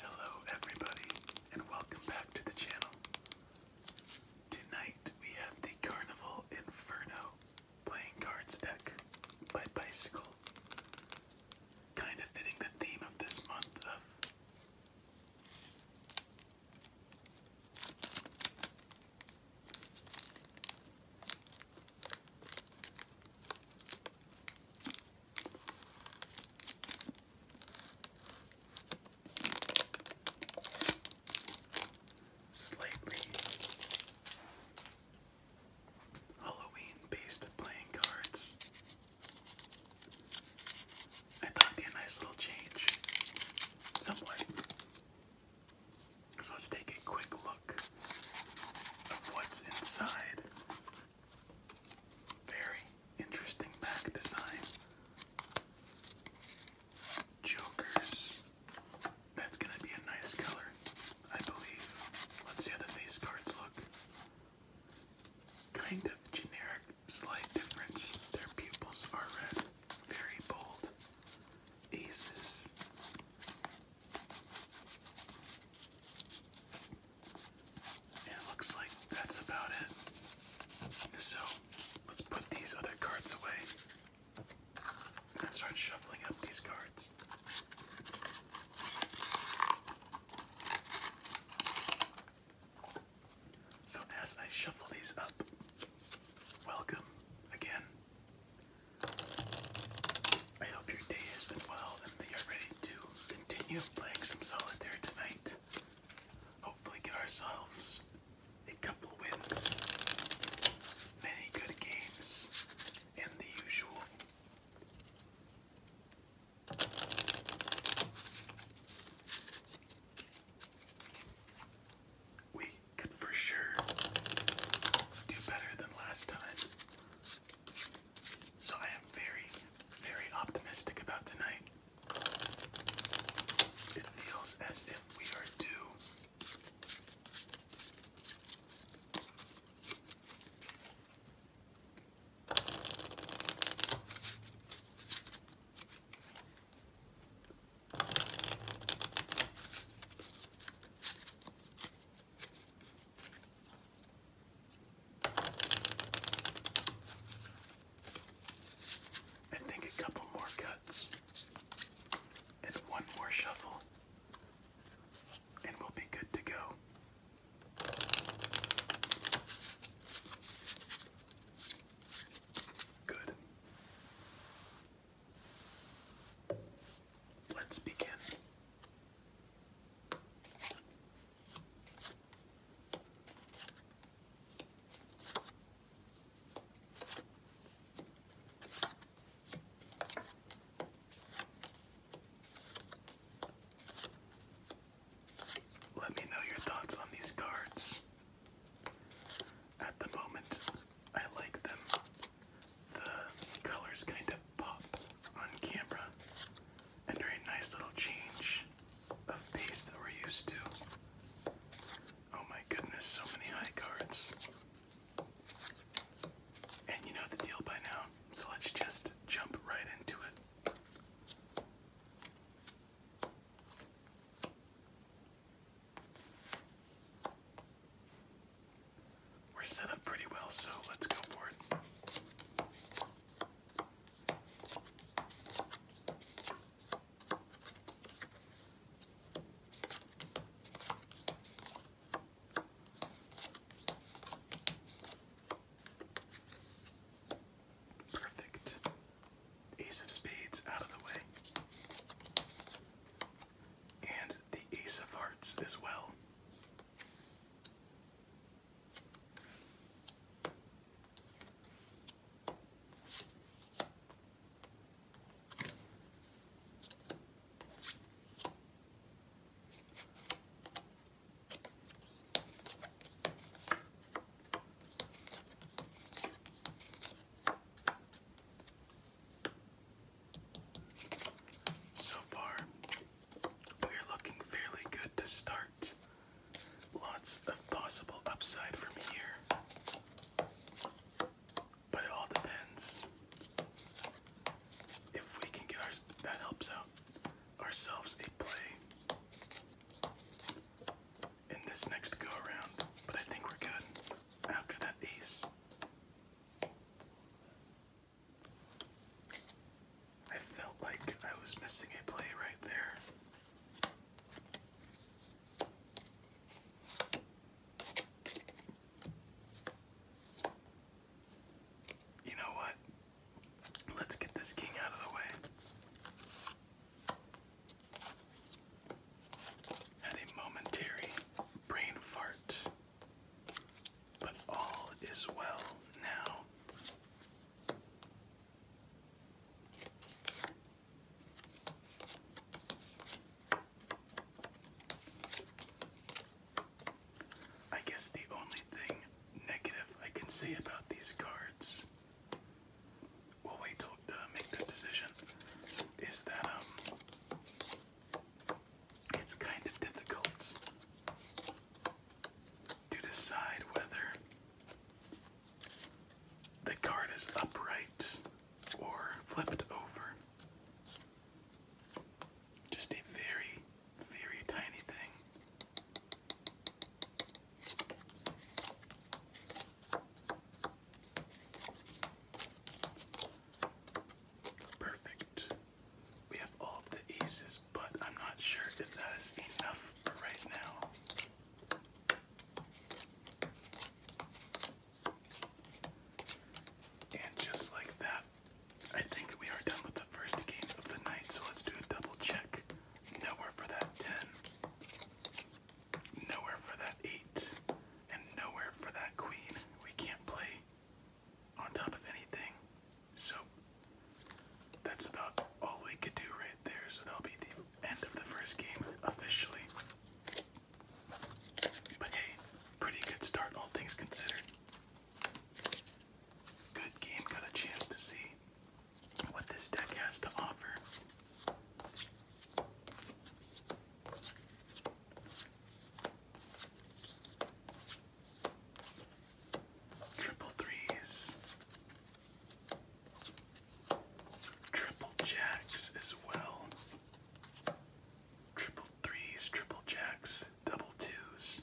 Hello, everybody, and welcome back to the channel. Tonight we have the Carnival Inferno playing cards deck by Bicycle. Kind of fitting the theme of this month of Slightly Halloween based playing cards. I thought be a nice little change. Somewhat. So let's take a quick look of what's inside. Very interesting back design. Jokers. That's gonna be a nice color, I believe. Let's see how the face cards look. Kind of generic, slight difference. Their pupils are red, very bold aces. it looks like that's about it. So let's put these other cards away and start shuffling up these cards. So, as I shuffle these up, welcome again I hope your day has been well and that you're ready to continue playing some solitaire tonight. Hopefully, get ourselves a couple wins, many good games, and the usual we could for sure do better than last time. So I am very, very optimistic about tonight. It feels as if we are due. I think a couple more cuts and one more shuffle, and we'll be good to go. Good. Let's begin. Let me know your thoughts on these cards. At the moment, I like them. The colors kind of pop on camera and are a nice little change of pace that we're used to. Oh my goodness, so many high cards. And you know the deal by now, so let's just jump right into it. We're set up pretty well, so let's go for it. Perfect. Ace of spades out of the way and the Ace of Hearts as well. So far, we're looking fairly good to start. Lots of possible upside from here. But it all depends if we can get ourselves a play in this next go around. But I think we're good after that ace. I felt like I was missing a play right there. You know what? Let's get this king out of the way. Had a momentary brain fart. But all is well now. I guess the only thing negative I can say about these cards, we'll wait to uh, make this decision, is that um, it's kind of difficult to decide whether the card is upright or flipped over. Just a very, very tiny thing. Perfect. We have all the aces, but I'm not sure if that is enough for right now. And just like that, I think we are done with the first game of the night, so let's do a double check. Nowhere for that 10, nowhere for that 8, and nowhere for that queen. We can't play on top of anything. So that's about all we could do right there. So that'll be the end of the first game officially. But hey, pretty good start, all things considered. Good game, got a chance to see what this deck has to offer. Triple threes. Triple jacks as well. Triple threes, triple jacks, double twos.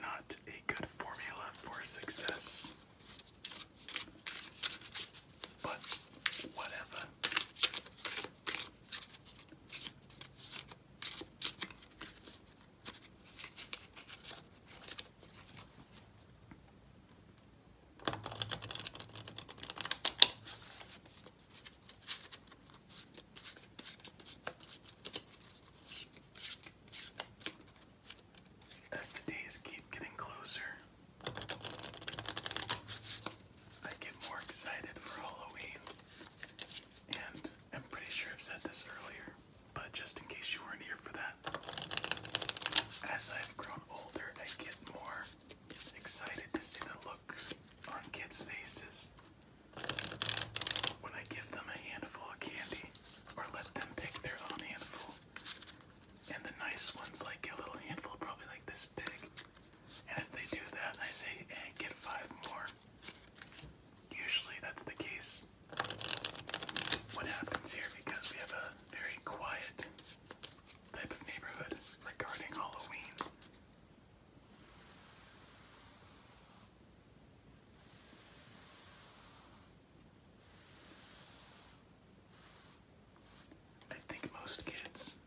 Not a good formula for success. But whatever. As the days keep getting closer, I get more excited for Halloween. And I'm pretty sure I've said this earlier, but just in case you weren't here for that, as I've grown older, I get more excited to see the looks on kids' faces when I give them a handful of candy or let them pick their own handful. And the nice ones like a little handful, probably like this big, and if they do that, I say, and eh, get five more. Usually that's the case. What happens here, because we have a very quiet type of neighborhood regarding Halloween. I think most kids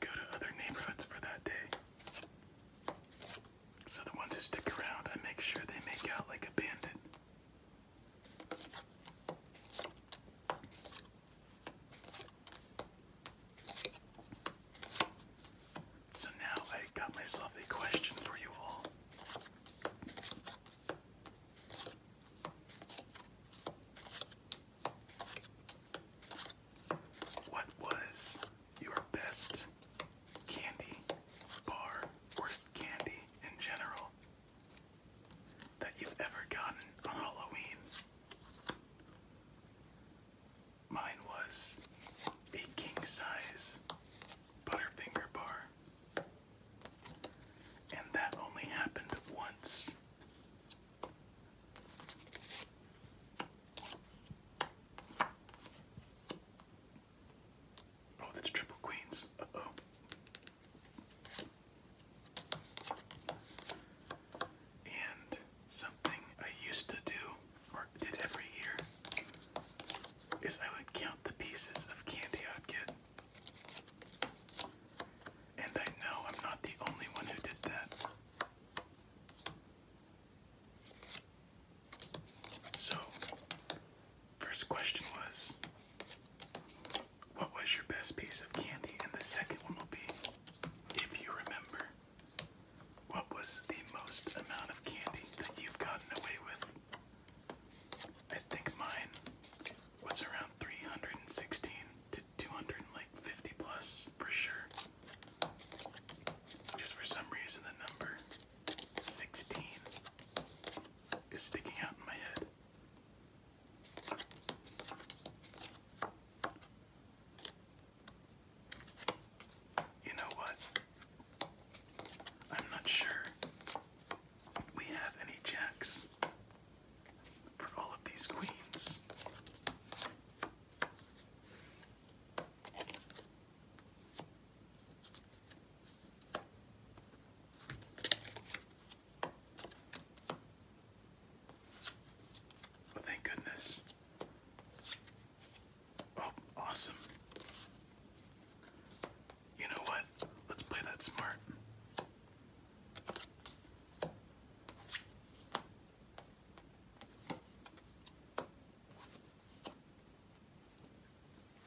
go to other neighborhoods for that day. So the ones who stick around, I make sure they make out like a bandit. So now I got myself a question for you all. What was your best candy bar or candy in general that you've ever gotten on Halloween? Mine was a king size Butterfinger bar. And that only happened once Oh, that's triple queens. oh. And something I used to do, or did every year, is I would count the pieces of candy I'd get. And I know I'm not the only one who did that. So, first question was What was your best piece of candy? And the second one will be If you remember, what was the most amount of candy that you've gotten away with? I think mine what's around 316 to 250 plus for sure. Just for some reason, the number 16 is sticking out in my head. You know what? I'm not sure we have any jacks for all of these queens. Well, thank goodness. Oh, awesome. You know what? Let's play that smart.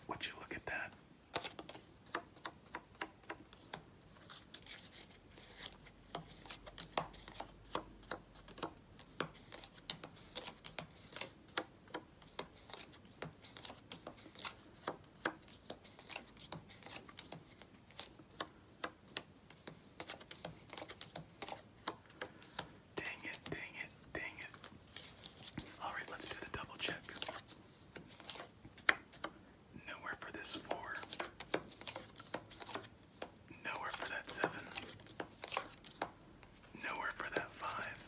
Would you look at that? Dang it, dang it, dang it. Alright, let's do the double check. Nowhere for this four. Nowhere for that seven. Nowhere for that five.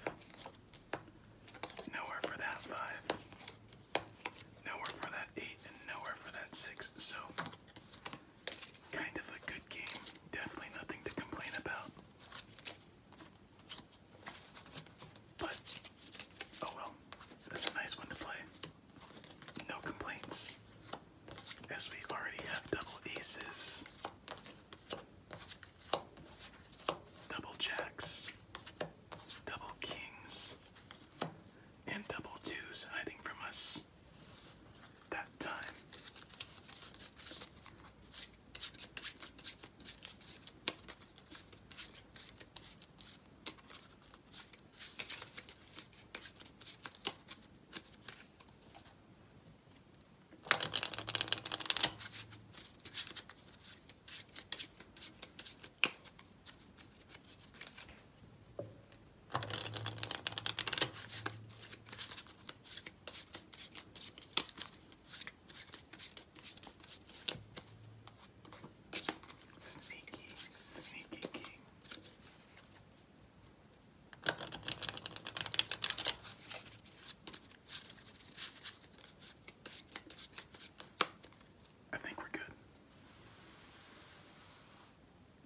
Nowhere for that five. Nowhere for that 8 and nowhere for that 6, so kind of a good game. Definitely nothing to complain about. But, oh well, that's a nice one to play. No complaints, as we already have double aces, double jacks, double kings, and double twos hiding from us that time. Sneaky, sneaky king. I think we're good.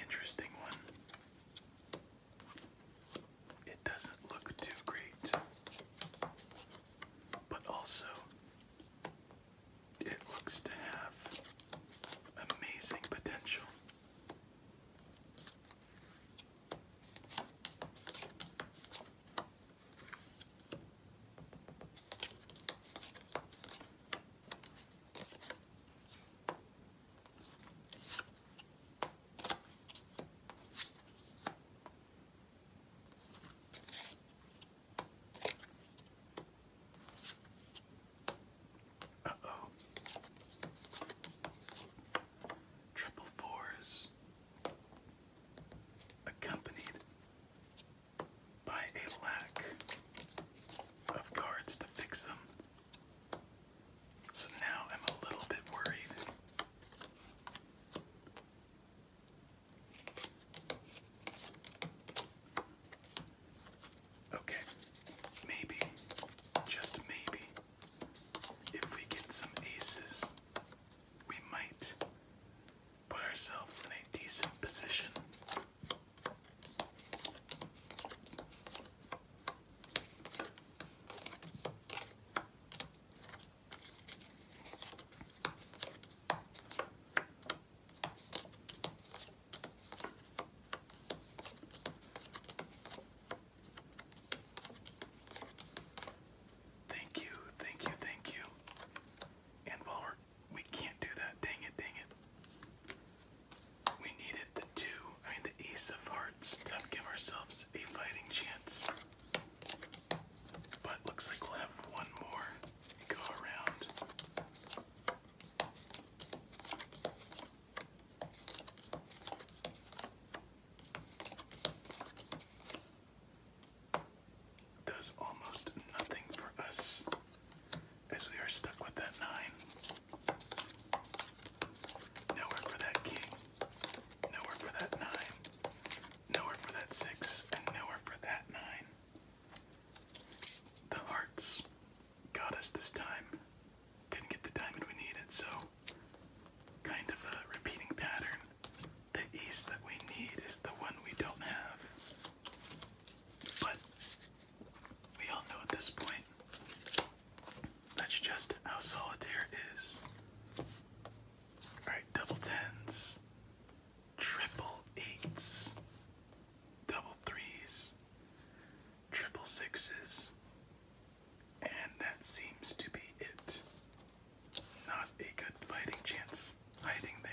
Interesting one. It doesn't look too great but also it looks to have amazing potential. Uh oh. Triple fours accompanied by a lack of cards to fix them. So now I'm a little bit worried. Okay, maybe, just maybe, if we get some aces, we might put ourselves in a decent position. Thank you, thank you, thank you. And while we're, we can not do that, dang it, dang it. We needed the two, I mean the ace of hearts to give ourselves a fighting chance. But looks like we have one more go around. Does almost nothing for us as we are stuck with that nine. Nowhere for that king. Nowhere for that nine. Nowhere for that six, and nowhere for that nine. The hearts got us this time. Couldn't get the diamond we needed, so kind of a repeating pattern. The ace that we need is the one we don't have. But we all know at this point that's just how solitaire is. Alright, double tens triple eights, double threes, triple sixes, and that seems to be it. Not a good fighting chance hiding there.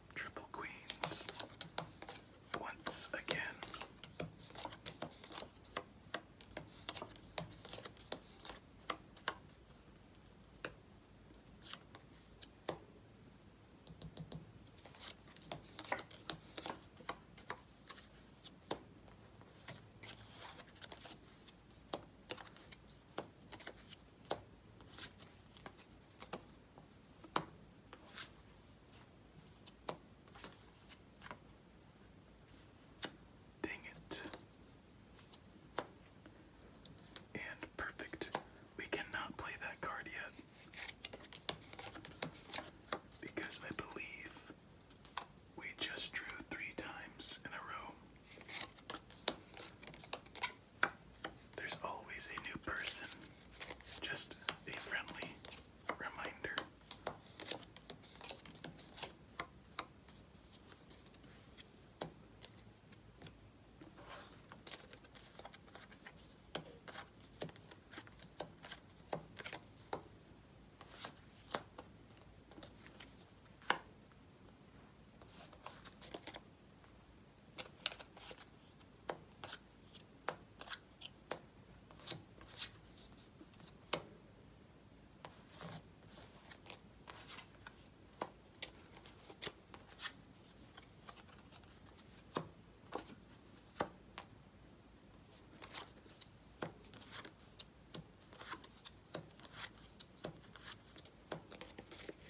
Triple queens once again. Dang it. And perfect. We cannot play that card yet. Because I believe we just drew three times in a row. There's always a new person, just a friendly reminder.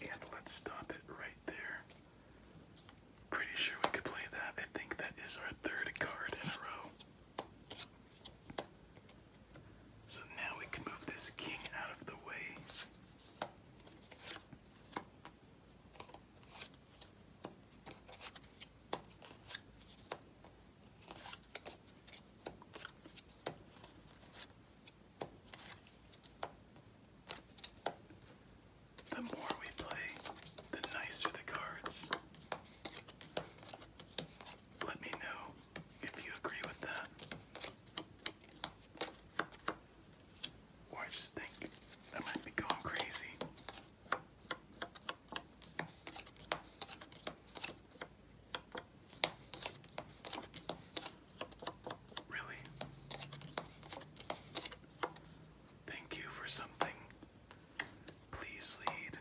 And let's stop it right there. Pretty sure we could play that. I think that is our third card in a row. So now we can move this king out of the way. The more we play, the nicer the cards. Let me know if you agree with that. Or I just think I might be going crazy. Really? Thank you for something Please lead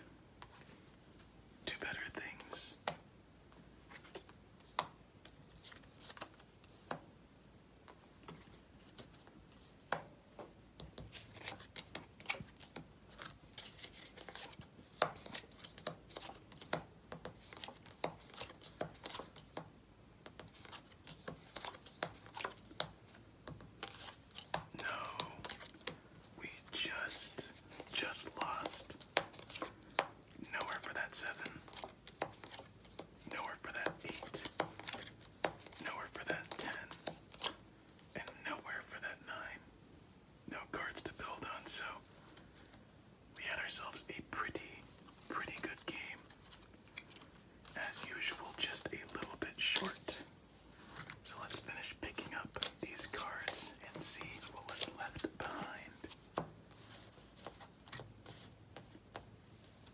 to better things. No, we just, just lost. Nowhere for that seven. Nowhere for that eight. Nowhere for that ten. And nowhere for that nine. No cards to build on, so we had ourselves a pretty, pretty good game as usual, just a little bit short. So let's finish picking up these cards and see what was left behind.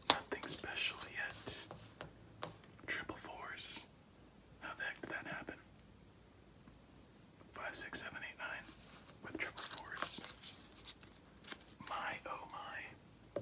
Nothing special yet. Triple fours. How the heck did that happen? Five, six, seven, eight, nine with triple fours. My oh my.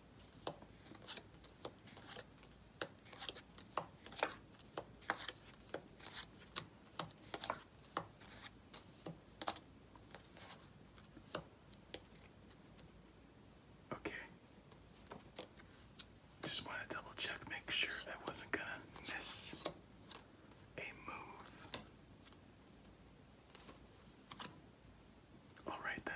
Okay. Just want to double check, make sure I wasn't going to miss a move. All right then.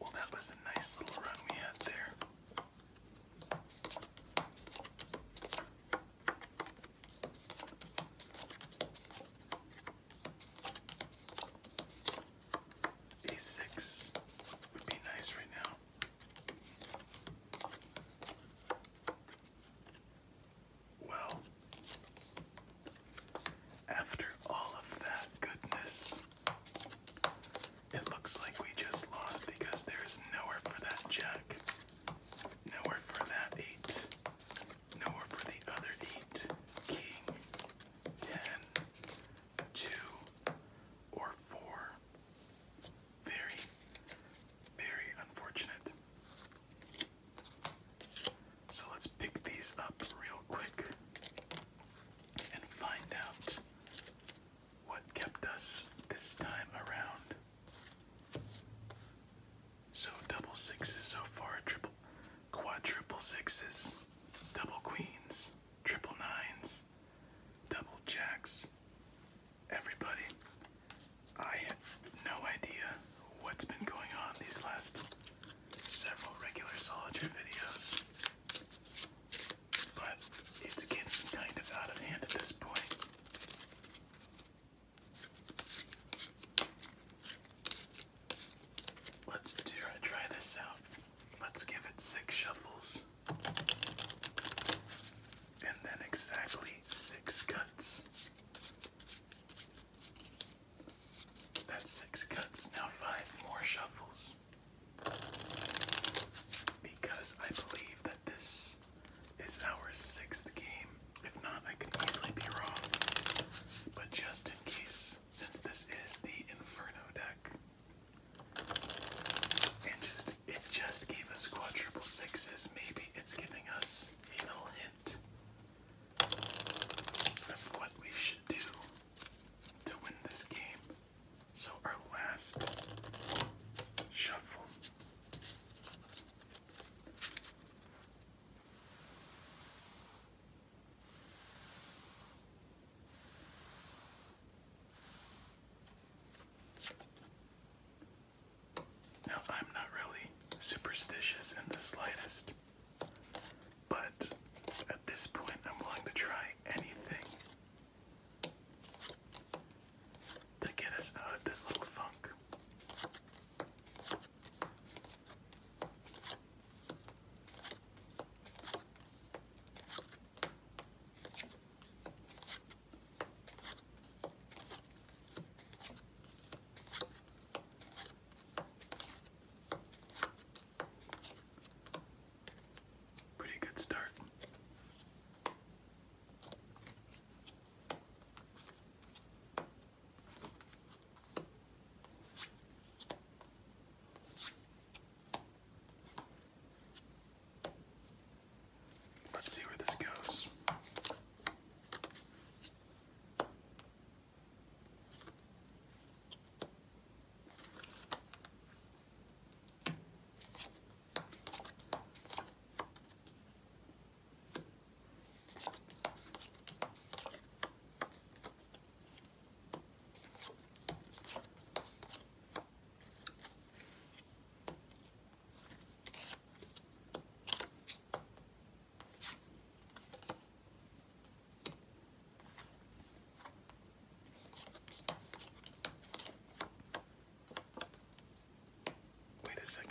Well, that was a nice little run we had there. A6 would be nice right now. Well, after all of that goodness, it looks like we just lost because there's nowhere for that jack, nowhere for that eight, nowhere for the other eight, king, 10, or 4. Very, very unfortunate. So let's pick these up real quick and find out what kept us this time around. So double sixes so far, triple, quadruple sixes double queens, triple nines, double jacks. Everybody, I have no idea what's been going on these last several regular solitaire videos, but it's getting kind of out of hand at this point. Let's try, try this out. Let's give it six shuffles. And then exactly six cuts. That's six cuts, now five more shuffles. Because I believe that this is our sixth game. If not, I could easily be wrong. But just in case, since this is the Inferno deck. And just it just gave us quadruple sixes. Maybe it's giving us a little hint of what we should do to win this game. So our last shuffle. Now, I'm not really superstitious in the slightest, but at this point, I'm willing to try anything to get us out of this little funk. Pretty good start. Let's see where this goes. Wait a second.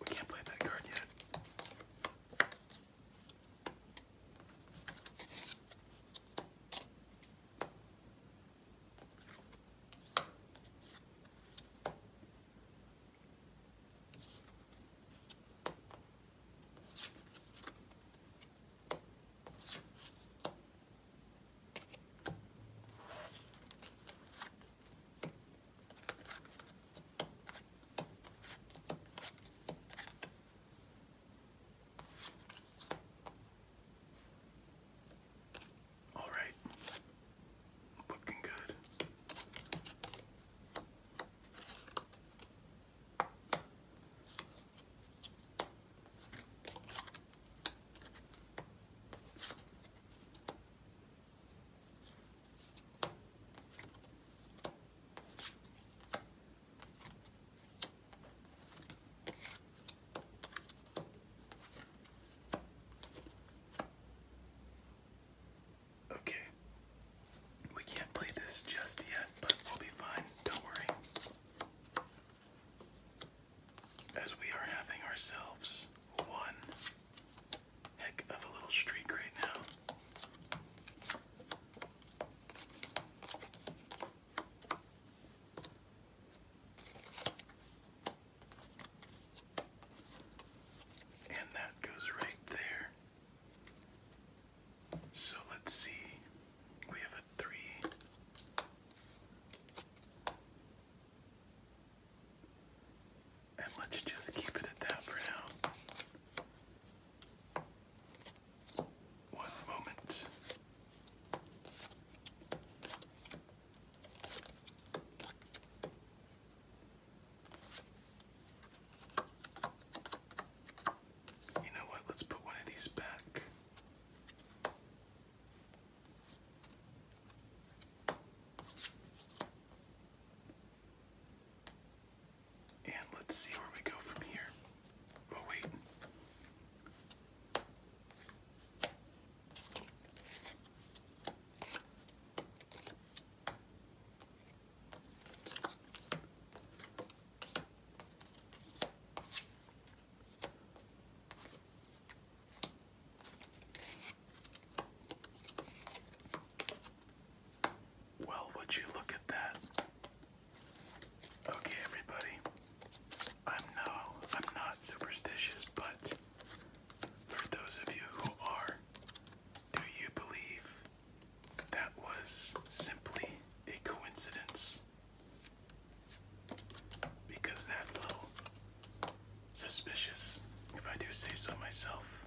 We can't play that card yet. All right, looking good. Okay. We can't play this just yet, but we'll be fine. Don't worry. As we are having ourselves one heck of a little streak right now. And that goes right there. So let's see. We have a three. And let's just keep it at that for now. One moment. You know what? Let's put one of these back. And let's see where we go from here. Oh, wait. Well, would you look at that? Okay, everybody. I'm no, I'm not superstitious, but for those of you who are, do you believe that was simply a coincidence? Because that's little suspicious, if I do say so myself.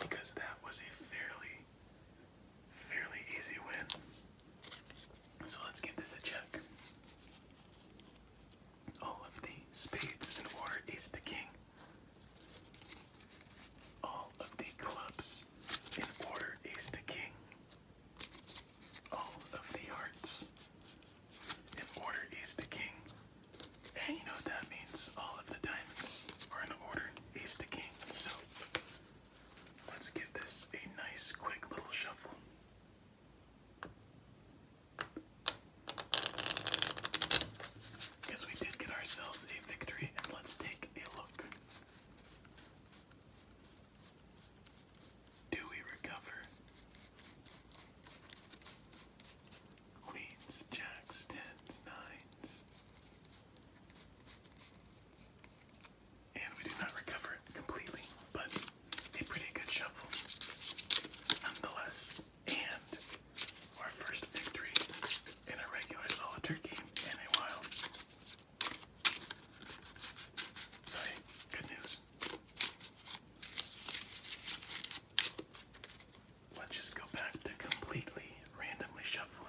Because that was a fairly, fairly easy win. So let's give this a check. All of the spades in order ace to king all of the clubs in order ace to king, all of the hearts in order ace to king, and you know what that means, all of the diamonds are in order ace to king. So let's give this a nice quick little shuffle. Because we did get ourselves a victory, and let's take a look. Do we recover? Queens, jacks, tens, nines. And we did not recover completely, but a pretty good shuffle nonetheless. And our first victory in a regular solitaire game in a while. So, good news. Let's just go back to completely randomly shuffling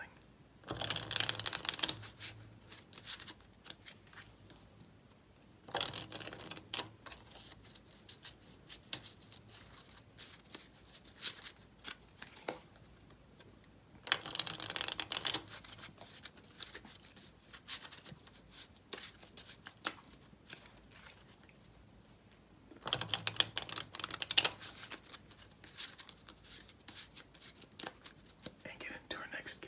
and get into our next game.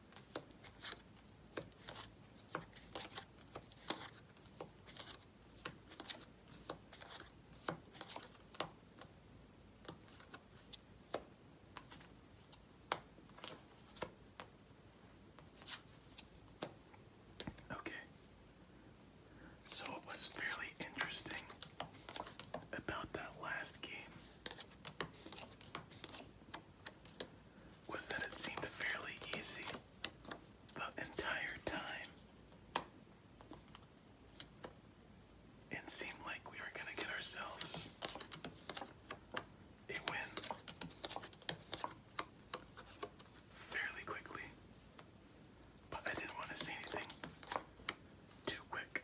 Okay. So it was fairly interesting about that last game was that it seemed fairly easy the entire time and seemed like we were going to get ourselves a win fairly quickly. But I didn't want to say anything too quick.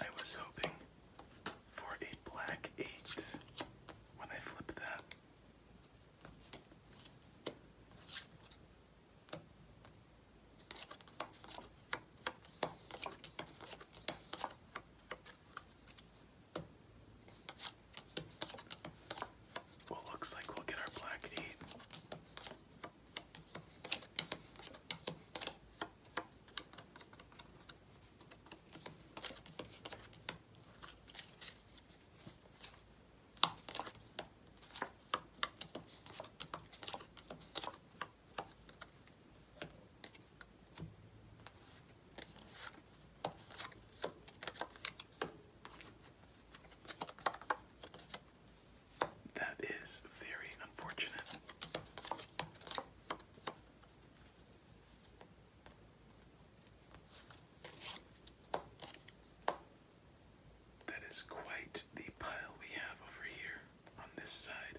I was hoping for a black eight when I flip that. Well, looks like we'll get our black and eight. That is very unfortunate. That is quite the pile we have over here on this side.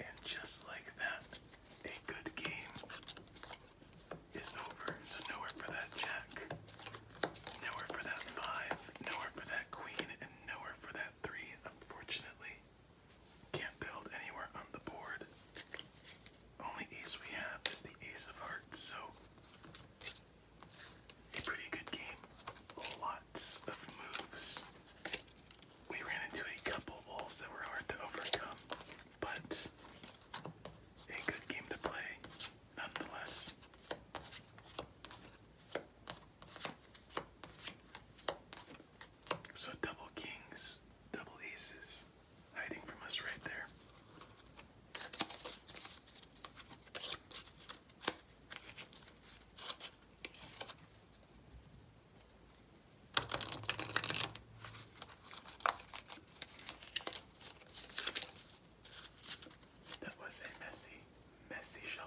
And just like that, a good game is over. So, nowhere for that jack, nowhere for that five, nowhere for that queen, and nowhere for that three, unfortunately. Can't build anywhere on the board. Only ace we have is the ace of hearts, so a pretty good game. Lots of moves. We ran into a couple walls that were hard to overcome, but a good game to play nonetheless. So double kings, double aces hiding from us right there. That was a messy, messy shuffle.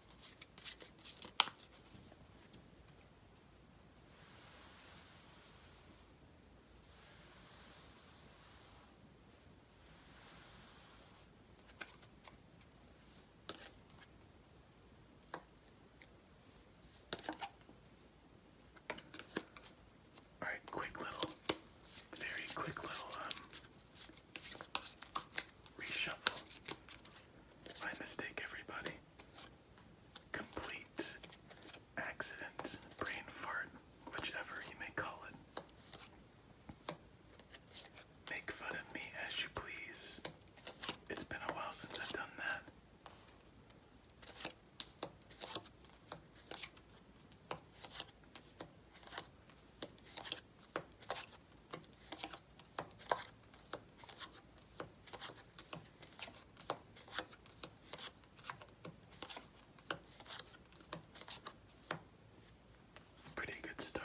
All right, quick little, very quick little um, reshuffle. My mistake, everybody. Complete accident, brain fart, whichever you may call it. Make fun of me as you please. It's been a while since I've done that. Pretty good start.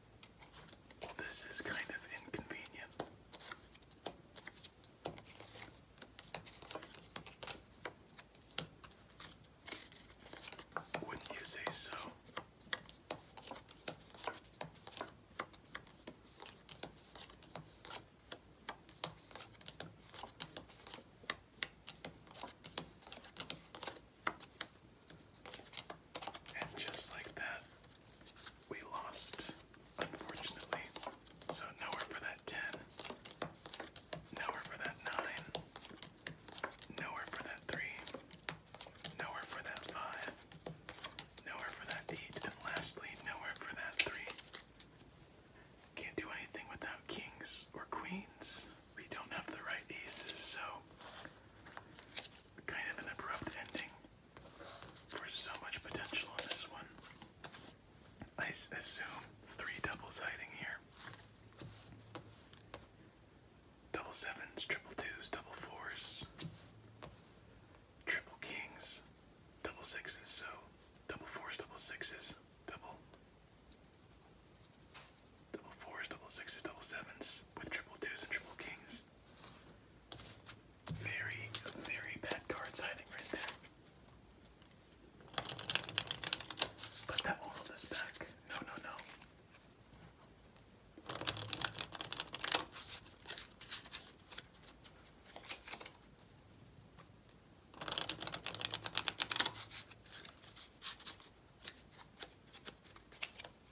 This is kind of inconvenient. Wouldn't you say so? And just like that, we lost, unfortunately. So nowhere for that 10, nowhere for that 9, nowhere for that 3, nowhere for that 5, nowhere for that 8, and lastly, nowhere for that 3. Can't do anything without kings or queens. We don't have the right aces, so kind of an abrupt ending for so much potential on this one. I assume three doubles hiding here. Double sevens, triple twos, double fours, triple kings, double sixes, so double fours, double sixes, double double fours, double sixes, double sevens with triple twos and triple kings. Very, very bad cards hiding right there. Put that all this back. No, no, no.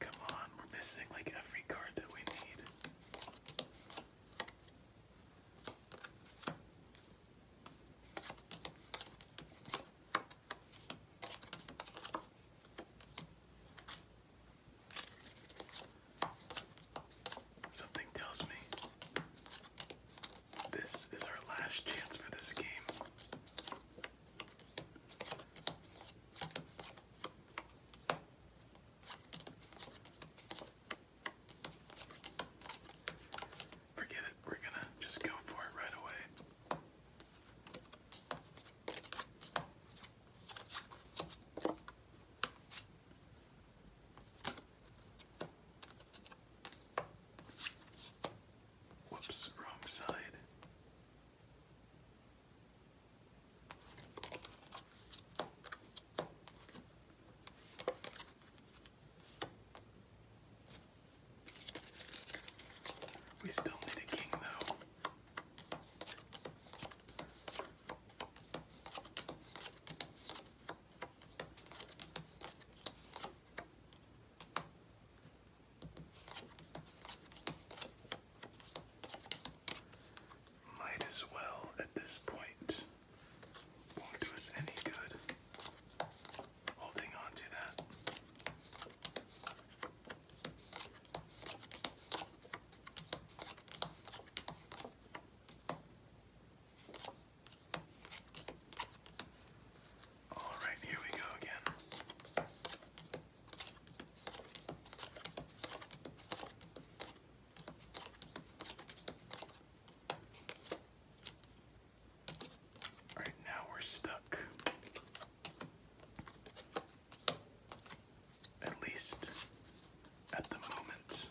Come on, we're missing like every card that we need. Something tells me this is our last chance for this game. Forget it, we're gonna just go for it right away. Whoops, wrong side. We still need a king, though. Might as well at this point. Won't do us any good holding on to that. All right, here we go again. All right, now we're stuck. At least at the moment.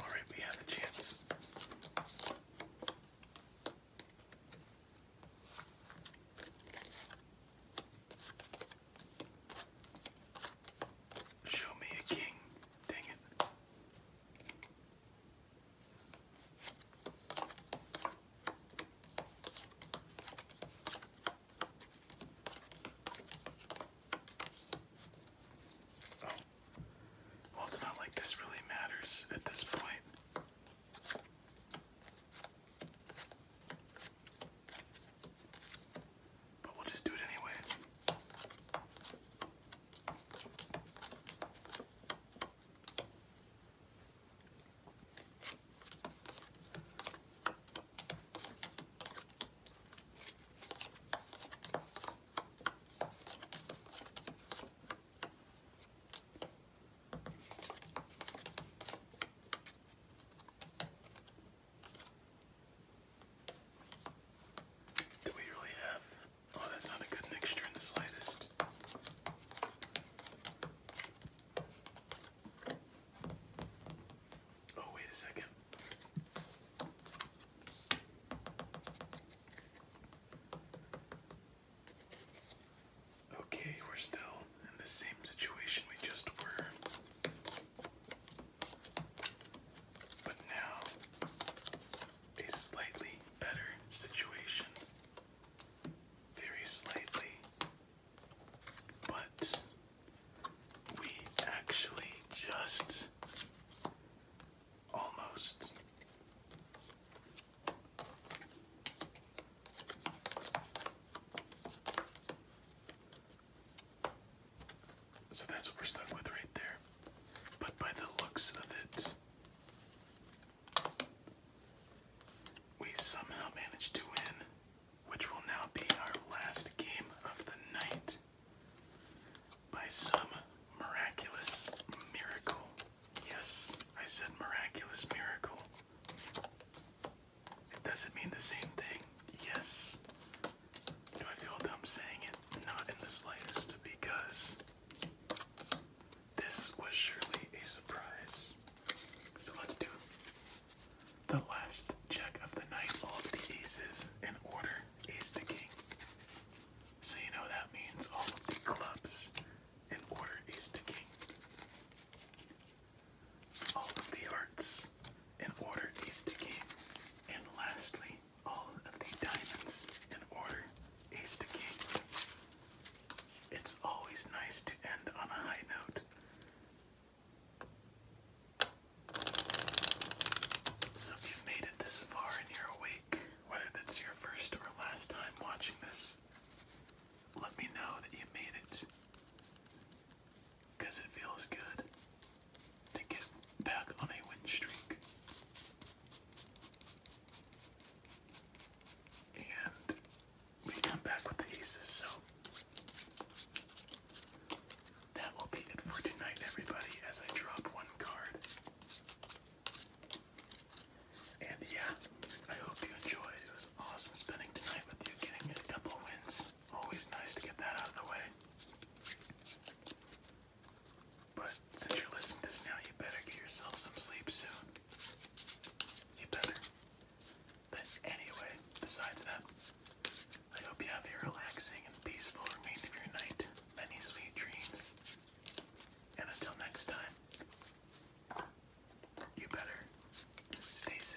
All right, we have a chance. Show me a king. Dang it. Oh, well, it's not like this really matters at this point. But we'll just do it anyway. Do we really have? Oh, that's not a good mixture in the slightest. Oh, wait a second. Okay, we're still in the same situation we just were. But now, a slightly better situation. Very slightly. But we actually just Almost. So that's what we're stuck with right there. But by the looks of it, we somehow managed to win, which will now be our last game of the night by some miraculous miracle. Yes, I said miraculous miracle. It doesn't mean the same thing. Yes. Do I feel dumb saying it? Not in the slightest, because this was surely a surprise. So let's do the last check of the night. All of the aces in order ace to king. So you know that means all of the clubs in order is to king. All of the hearts in order is to king. And lastly, all of the diamonds in order is to king. It's always nice to end on a high note. So if you made it this far and you're awake, whether that's your first or last time watching this, let me know that you made it. Because it feels good to get back on a win streak. And we come back with the aces, so that will be it for tonight, everybody, as I drop one card. And yeah, I hope you enjoyed. It was awesome spending tonight with you, getting a couple wins. Always nice to get that out of the way. But since you're listening to this now, you better get yourself some sleep soon. You better. But anyway, besides that, I hope you have a relaxing and peaceful remainder of your night many sweet dreams. And until next time, you better stay safe.